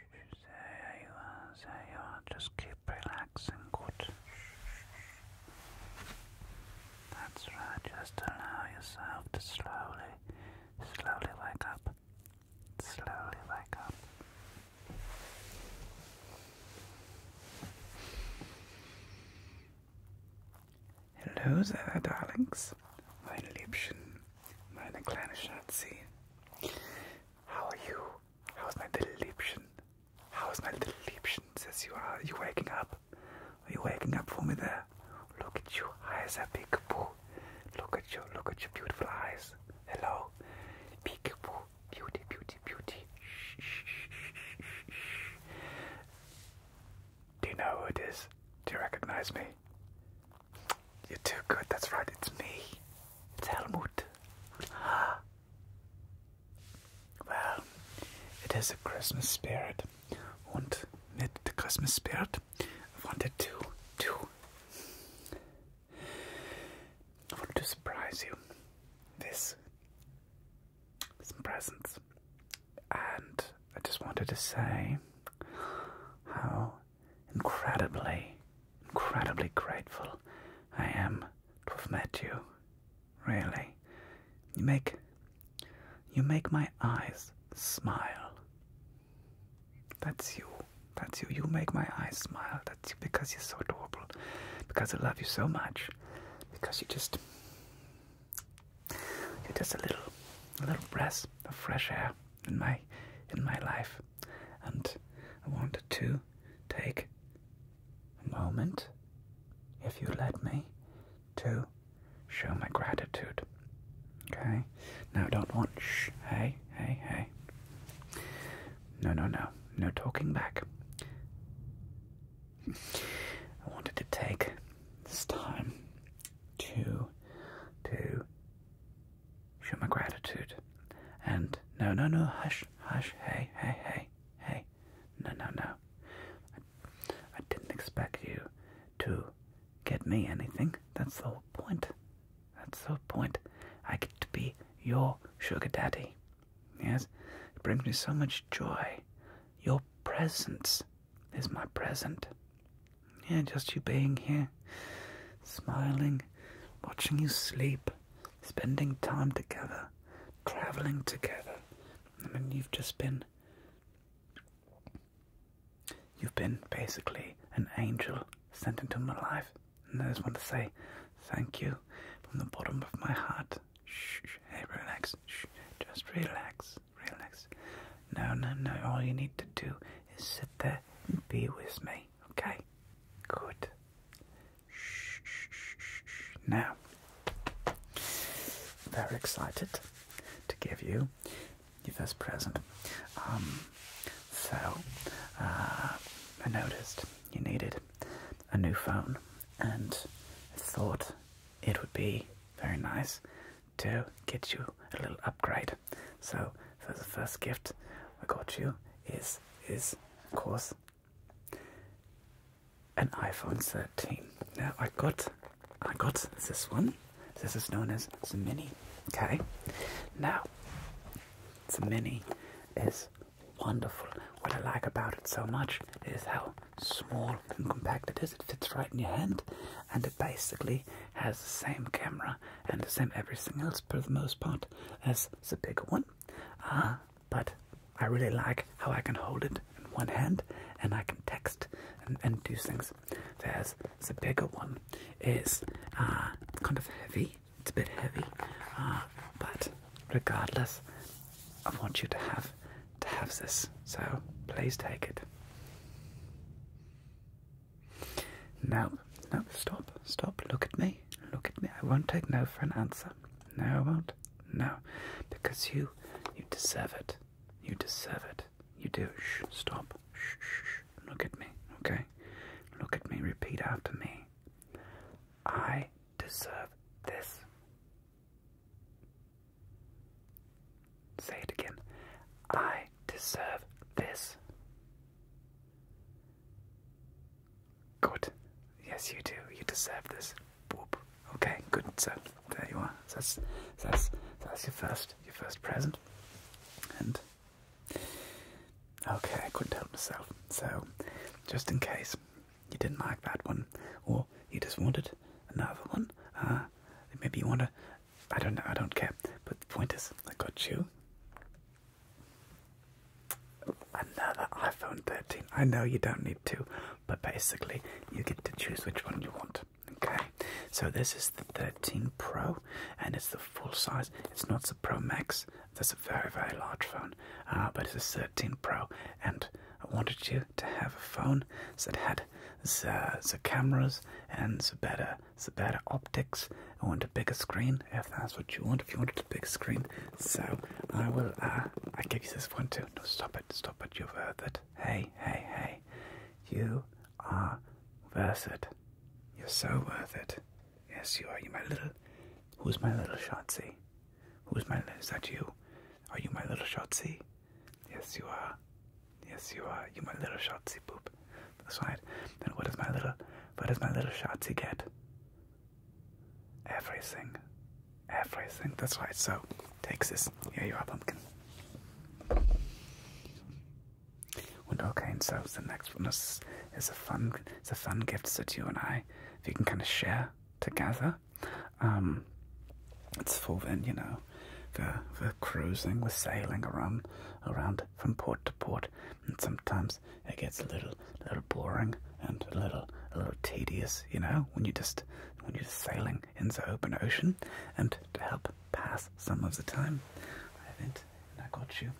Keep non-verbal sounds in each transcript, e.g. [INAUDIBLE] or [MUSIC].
There you are, there you are. Just keep relaxing, good. That's right, just allow yourself to slowly, slowly wake up. Slowly wake up. Hello there, darlings. Schatz, mein Liebchen, meine kleine How are you? How's my little Liebchen? How's my little Liebchen? Says you are. are you waking up? Are you waking up for me there? Look at you, eyes are peekaboo. Look at you, look at your beautiful eyes. Hello, peekaboo, beauty, beauty, beauty. Do you know who it is? Do you recognize me? You're too good, that's right, it's me. It's Helmut. Well, it is a Christmas spirit. And with the Christmas spirit, I wanted to, to, wanted to surprise you This, some presents. And I just wanted to say how incredibly, incredibly grateful I am to have met you. Really. You make you make my eyes smile. That's you. That's you. You make my eyes smile. That's you because you're so adorable. Because I love you so much. Because you just just a little, a little breath of fresh air in my, in my life, and I wanted to take a moment, if you let me, to show my gratitude. Okay? no, don't want Hey, hey, hey. No, no, no. No talking back. [LAUGHS] I wanted to take this time to to Show my gratitude. And no, no, no, hush, hush, hey, hey, hey, hey, no, no, no. I, didn't expect you to get me anything. That's the whole point. That's the whole point. I get to be your sugar daddy. Yes? It brings me so much joy. Your presence there's my present. Yeah, just you being here, smiling, watching you sleep, spending time together, traveling together. I mean, you've just been. You've been basically an angel sent into my life. And I just want to say thank you from the bottom of my heart. Shh, hey, relax. Shh, just relax relax, No, no, no. All you need to do is sit there and be with me, okay? Good. Shh, shh, shh, shh. Now, very excited to give you your first present. Um, so, uh, I noticed you needed a new phone and I thought it would be very nice to get you a little upgrade. So, so the first gift I got you is is of course an iPhone 13. Now I got I got this one. This is known as the mini. Okay. Now the mini is wonderful. What I like about it so much is how small and compact it is. It fits right in your hand and it basically has the same camera and the same everything else for the most part as the bigger one. Uh, but I really like how I can hold it in one hand and I can text and, do things. Whereas the bigger one is uh, kind of heavy. It's a bit heavy. Uh, but regardless, I want you to have to have this. So please take it. No, no, stop, stop, look at me, look at me. I won't take no for an answer. No, I won't. No, because you, you deserve it. You deserve it. You do. Shh, stop. Shh, shh, look at me, okay? Look at me, repeat after me. I deserve this. Say it again. I deserve this. Good. Yes, you do. You deserve this. Okay, good. So there you are. That's that's that's your first your first present. And okay, I couldn't help myself. So just in case you didn't like that one, or you just wanted another one, uh, maybe you want a, I don't know. I don't care. But the point is, I got you another iPhone 13. I know you don't need to, but basically, you get to choose which one you want. Okay, so this is the 13 Pro, and it's the full size. It's not the Pro Max. That's a very very large phone, uh, but it's a 13 Pro, and I wanted you to have a phone that had the, the cameras and the better the better optics I want a bigger screen if that's what you want if you wanted a bigger screen so I will uh, I give you this one too no stop it stop it you are worth it. hey hey hey you are worth it you're so worth it yes you are you my little who's my little Shotzi who's my is that you are you my little Shotzi Yes, you are. Yes, you are. You my little Shotzi boop. That's right. Then what does my little, what does my little Shotzi get? Everything. Everything. That's right. So, takes this. Here you are, pumpkin. okay, and so the next one is, is a fun, it's a fun gift that you and I, we can kind of share together. Um, it's for when you know know, the the cruising, we're sailing around around from port to port, and sometimes it gets a little little boring and a little a little tedious, you know, when you just when you're just sailing in the open ocean. And to help pass some of the time, I went got you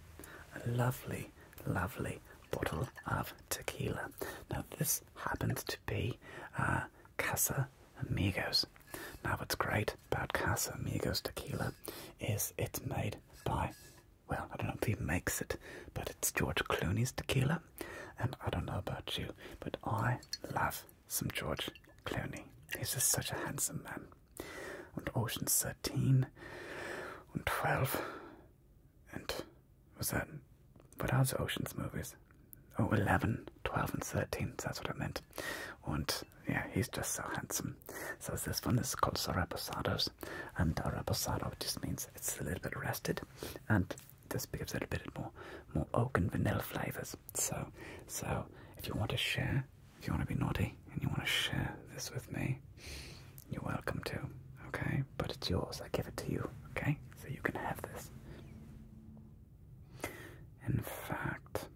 a lovely, lovely bottle of tequila. Now this happens to be uh, Casa Amigos. Now, what's great about Casa Amigos tequila is it's made by, well, I don't know if he makes it, but it's George Clooney's tequila. And I don't know about you, but I love some George Clooney. He's just such a handsome man. And Ocean's 13 and 12 and was that what else Ocean's movies? Oh, 11, 12, and 13. That's what I meant. And yeah, he's just so handsome. So this one is called Saraposados. And Arabosado just means it's a little bit rested. And this gives it a bit more, more oak and vanilla flavors. So, so if you want to share, if you want to be naughty and you want to share this with me, you're welcome to. Okay, but it's yours. I give it to you. Okay, so you can have this. In fact,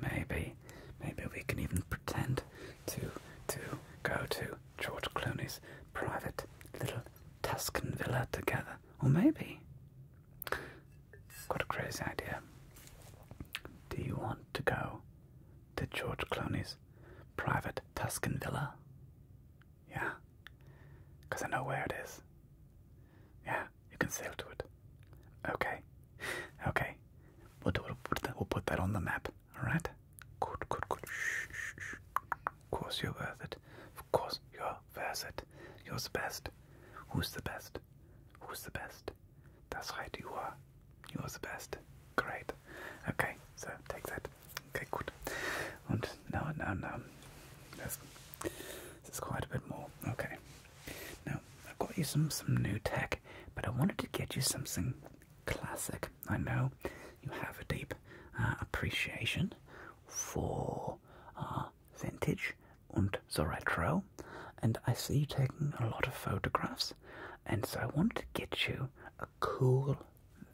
maybe, maybe we can even pretend to to go to George Clooney's private little Tuscan villa together, or maybe. Got a crazy idea. Do you want to go to George Clooney's private Tuscan villa? Yeah, because I know where it is. Yeah, yeah, you can sail to it. Okay. Okay. We'll do it. We'll put that on the map. All right. Good. Good. Good. Shh, shh, shh. Of course you're worth it. Of course you're worth it. You're the best. Who's the best? Who's the best? That's right. You are. You're the best. Great. Okay. So take that. Okay. Good. And now, now, now. There's, there's quite a bit more. Okay. Now, I've got you some, some new tech, but I wanted to get you something classic. I know you have a deep uh, appreciation for uh, vintage and the retro, and I see you taking a lot of photographs, and so I wanted to get you a cool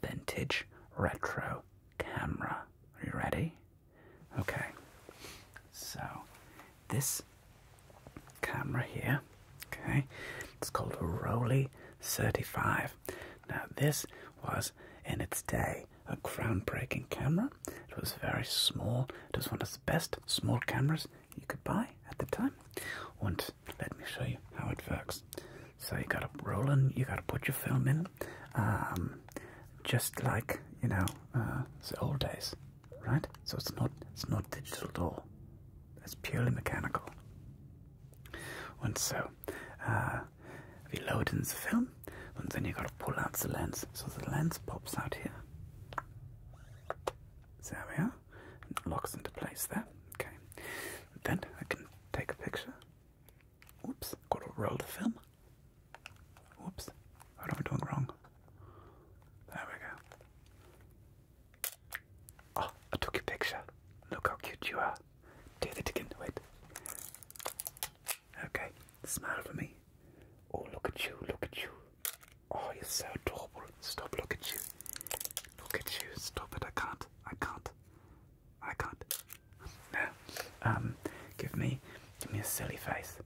vintage retro camera. Are you ready? Okay, so this camera here, okay, it's called a Rolly 35. Now, this was in its day a groundbreaking camera. It was very small, it was one of the best small cameras you could buy at the time. And let me show you how it works. So you gotta roll and you gotta put your film in um, just like you know uh, the old days, right? So it's not it's not digital at all. It's purely mechanical. And so uh, we load in the film, and then you got to pull out the lens. So the lens pops out here. There we are. locks into place there. Okay. Then I can take a picture. Oops, got to roll the film. Whoops. What am I doing wrong? There we go. Oh, I took your picture. Look how cute you are. Do that again. Wait. Okay, smile for me. Oh, look at you, look at you. Oh, you're so adorable. Stop, look at you. Look at you. Stop it. I can't. I can't. I can't. No. Um, give me, give me a silly face.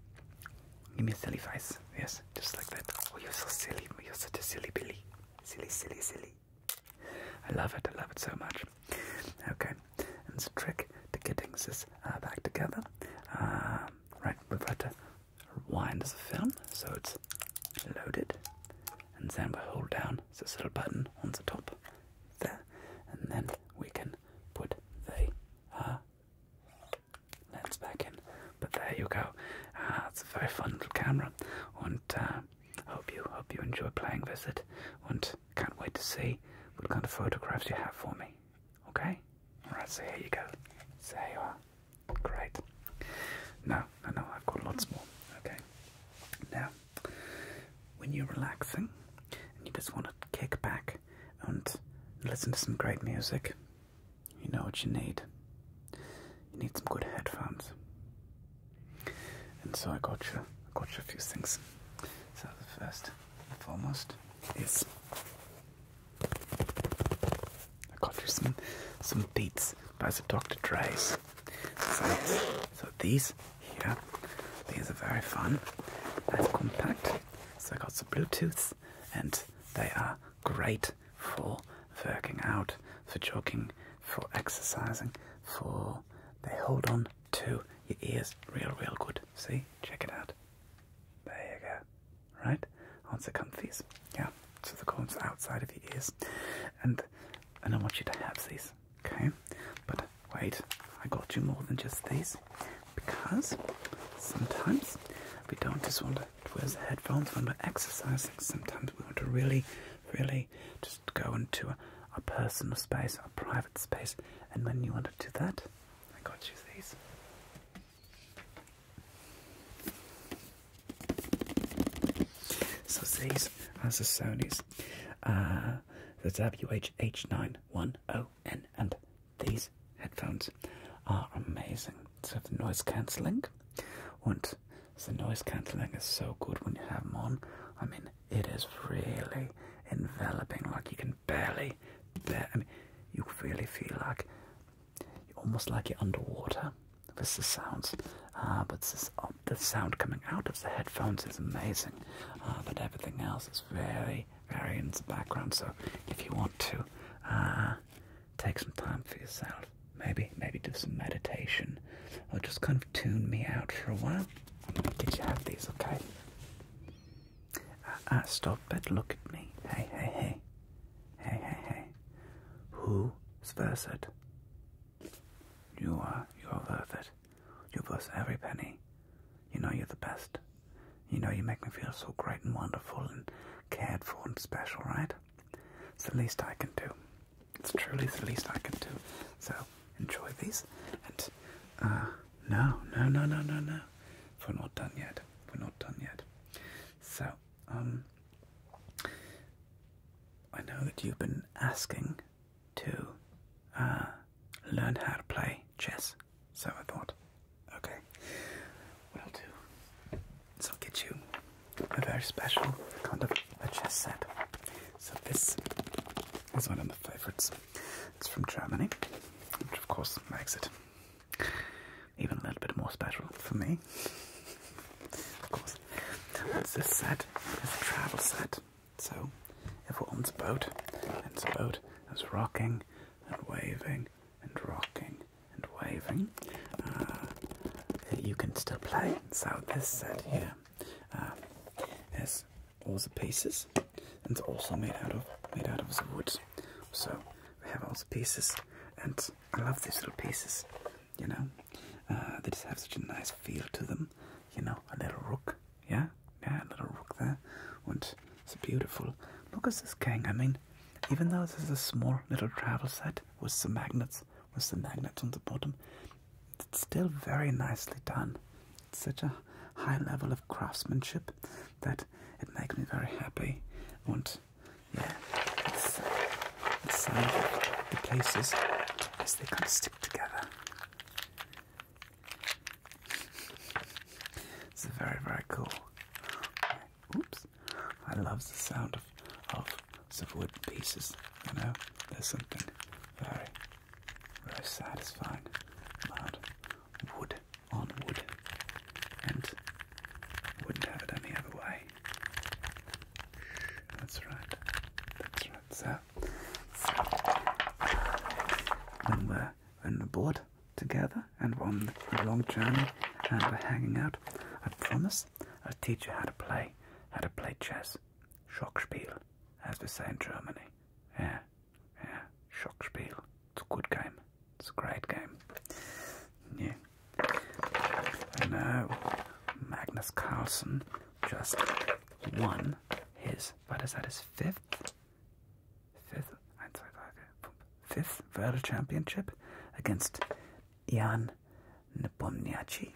Give me a silly face. Yes, just like that. Oh, you're so silly. You're such a silly Billy. Silly, silly, silly. I love it. I love it so much. Okay. And the trick to getting this uh, back together. Um, right, we've got to rewind the film so it's loaded. And then we hold down this little button on the top there. And then we can put the huh? Lens back in. But there you go. Uh, ah, it's a very fun little camera, and uh, hope you hope you enjoy playing with it. And can't wait to see what kind of photographs you have for me. Okay? Alright, so here you go. So here you are. Great. No, no, no, I've got lots more. Okay. Now, when you're relaxing and you just want to kick back and listen to some great music, you know what you need. You need some good headphones. And so I got you, I got you a few things. So the first and foremost is I got you some some beats by the Dr. Dre's. so these here. These are very fun. They're compact. So I got some Bluetooth and they are great for working out, for jogging, for exercising, for they hold on to your ears real real good. See? Check it out. There you go. Right? Aren't they comfies? Yeah. So the corns outside of your ears. And and I want you to have these. Okay? But wait, I got you more than just these because sometimes we don't just want to wear the headphones when we're exercising. Sometimes we want to really, really just go into a, personal space, a private space, and when you want to do that, I got you these. So these are the Sony's, uh, the WH-H9101 and these headphones are amazing. So the noise cancelling, and the noise cancelling is so good when you have them on. I mean, it is really enveloping. Like you can barely, bear, I mean, you really feel like you're almost like you're underwater with the sounds. Uh, but um, the sound coming out of the headphones is amazing. Uh, but everything else is very very, background. So if you want to uh, take some time for yourself, maybe, maybe do some meditation, or just kind of tune me out for a while. Did you have these? Okay. Uh, uh, stop it. Look at me. Hey, hey, hey, hey, hey, hey. Who's worth it? You are. You are worth it. You're worth every penny. You know you're the best. You know you make me feel so great and wonderful and cared for and special, right? It's the least I can do. It's truly the least I can do. So enjoy these. And uh, no, no, no, no, no, no. We're not done yet. We're not done yet. So, um, I know that you've been asking to uh, learn how to play chess. So I thought, okay, well, I'll do is I'll get you a very special kind of a chess set. So this is one of my favourites. It's from Germany, which of course makes it even a little bit more special for me. [LAUGHS] of course. What's this set? It's a travel set. So if everyone's boat, and its boat is rocking and waving and rocking and waving. Uh, you can still play. So this set here has uh, all the pieces, and it's also made out of made out of the wood. So we have all the pieces, and I love these little pieces. You know, uh, they just have such a nice feel to them. You know, a little rook yeah, yeah, little rook there. And it's beautiful. Look at this gang. I mean, even though this is a small little travel set with some magnets, with the magnets on the bottom, it's still very nicely done. It's such a high level of craftsmanship that it makes me very happy. And yeah, uh, uh, the places as they kind of stick together. It's very, very cool. Oops. I love the sound of, of some wood pieces, you know? There's something very, very satisfying about wood on wood. And wouldn't have it any other way. That's right. That's right. So, when we're on the board together and we're on a long journey and we're hanging out, I promise I'll teach you how to play how to play chess. Schockspiel, as we say in Germany. Yeah, yeah, Schockspiel. It's a good game. It's a great game. Yeah. And now Magnus Carlsen just won his, what is that, his fifth fifth, World Championship against Ian Nepomniachtchi.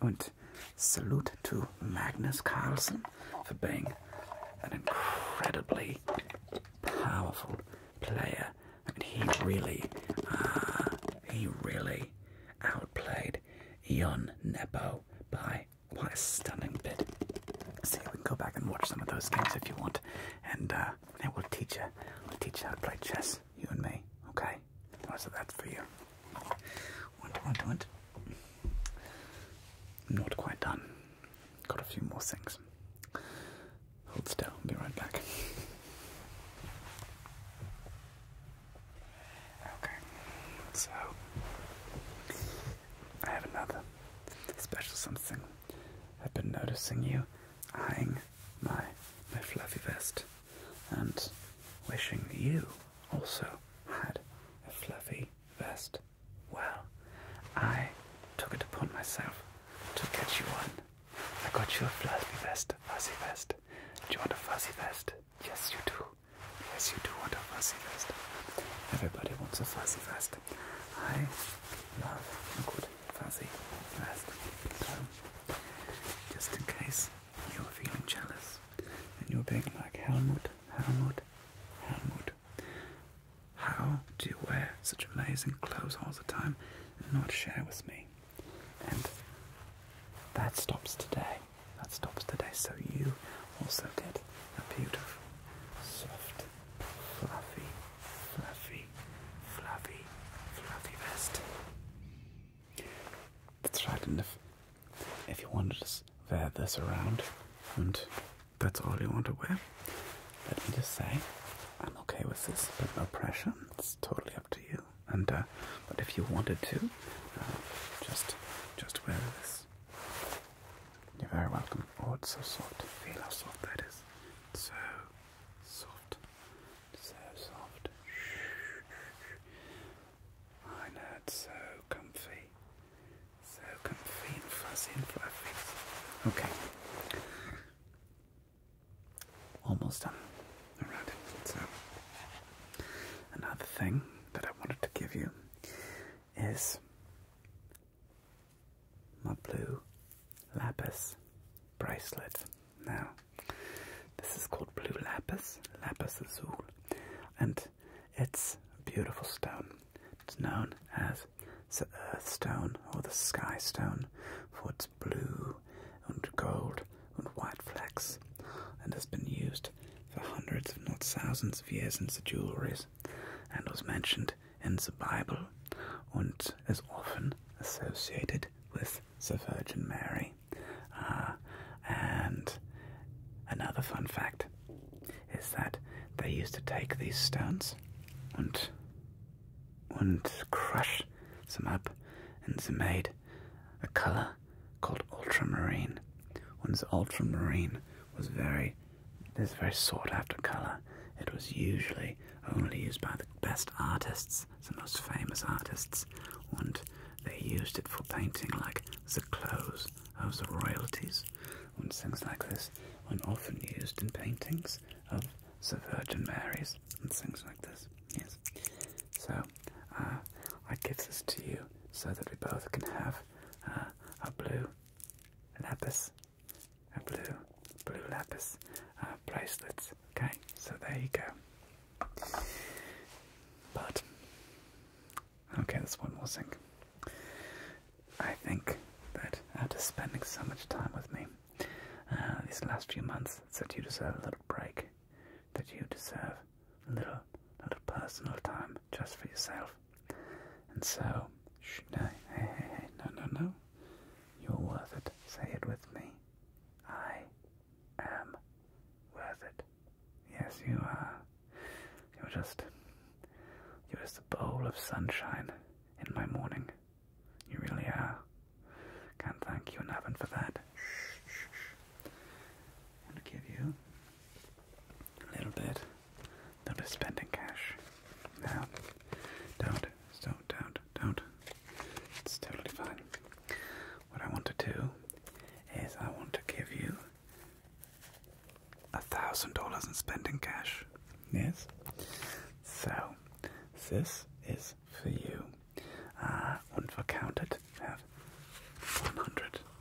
And salute to Magnus Carlsen for being an incredibly powerful player. I mean, he really, uh, he really outplayed Ian Nepo by what a stunning bit. See, we can go back and watch some of those games if you want, and uh, it will teach you. We'll teach you how to play chess, you and me. Okay. Oh, so that's for you. Went, not quite done. Got a few more things. Hold still. I'll be right back. Okay, so I have another special something. I've been noticing you eyeing my my fluffy vest and wishing you also had a fluffy vest. Well, I took it upon myself to get you one. I got you a fluffy vest, a fuzzy vest. Do you want a fuzzy vest? Yes, you do. Yes, you do want a fuzzy vest. Everybody wants a fuzzy vest. I love a good fuzzy vest. So, um, just in case you're feeling jealous and you're being like Helmut, Helmut, Helmut, how do you wear such amazing clothes all the time and not share with me? And that stops today. That stops today, so you also get a beautiful, soft, fluffy, fluffy, fluffy, fluffy vest. That's right, and if, if you wanted to wear this around and that's all you want to wear, let me just say I'm okay with this, but no pressure. It's totally up to you. And uh, but if you wanted to, uh, just just wear this. You're very welcome. Oh, it's so soft. Feel how soft that is. So soft. So soft. I know it's so comfy. So comfy and fuzzy and fluffy. Okay. Almost done. Alright, so another thing that I wanted to give you is my blue lapis bracelet. Now, this is called blue lapis, lapis azul, and it's a beautiful stone. It's known as the earth stone or the sky stone for its blue and gold and white flecks and has been used for hundreds, if not thousands, of years since the jewelries, and was mentioned in the Bible and is often associated with the Virgin Mary. Uh, and another fun fact is that they used to take these stones and and crush them up, and they made a color called ultramarine. Once ultramarine was very this very sought after colour. It was usually only used by the best artists, the most famous artists, and they used it for painting like the clothes of the royalties and things like this and often used in paintings of the Virgin Marys and things like this. Yes. So uh, I give this to you so that we both can have uh, a blue lapis, a blue, blue lapis uh, bracelets. Okay, so there you go. But okay, there's one more thing. I think that after spending so much time with me these last few months, that you deserve a little break. That you deserve a little, little personal time just for yourself. And so, no, hey, hey, hey, no, no, no. You're worth it. Say it with me. I am worth it. Yes, you are. You're just, you're just a bowl of sunshine in my morning. You really are. Can't thank you enough and for that. I'm to give you a little bit. A spending cash. Now, don't, don't, don't, don't. It's totally fine. What I want to do is I want to give you a thousand dollars in spending cash. Yes? So, this is for you. Uh, und counted have 100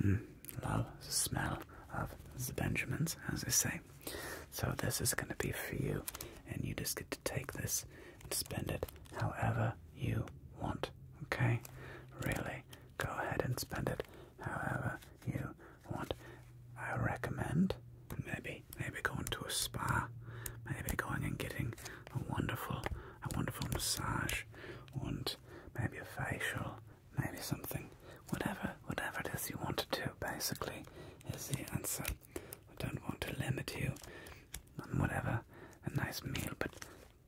Mm. love the smell of the Benjamins, as they say. So this is going to be for you, and you just get to take this and spend it however you want. Okay? Really, go ahead and spend it however you want. I recommend maybe maybe going to a spa, maybe going and getting a wonderful a wonderful massage, maybe a facial, maybe something. Whatever, whatever it is you want to do, basically, is the answer. I don't want to limit you on whatever, a nice meal, but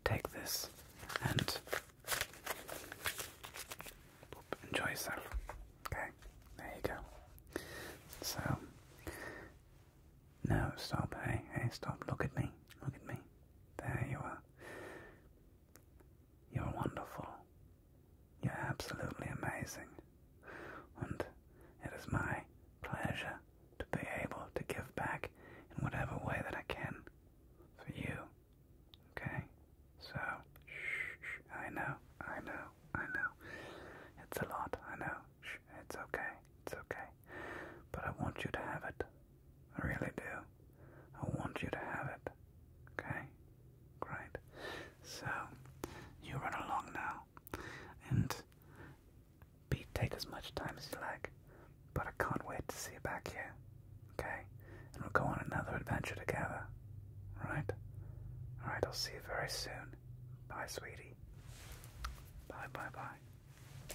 take this and enjoy yourself. Okay, there you go. So, no, stop, hey, hey, stop, look at me, look at me. There you are. You're wonderful. You're absolutely amazing. And it is my pleasure to be able to give back in whatever way that I can for you. Okay? So, shh, I know, I know, I know. It's a lot, I know. it's okay, it's okay. But I want you to have it. I really do. I want you to have it. Okay? Great. So, you run along now. And be, take as much time as you like. But I can't wait to see you back here. Okay? And we'll go on another adventure together. Alright? Alright, I'll see you very soon. Bye, sweetie. Bye, bye, bye.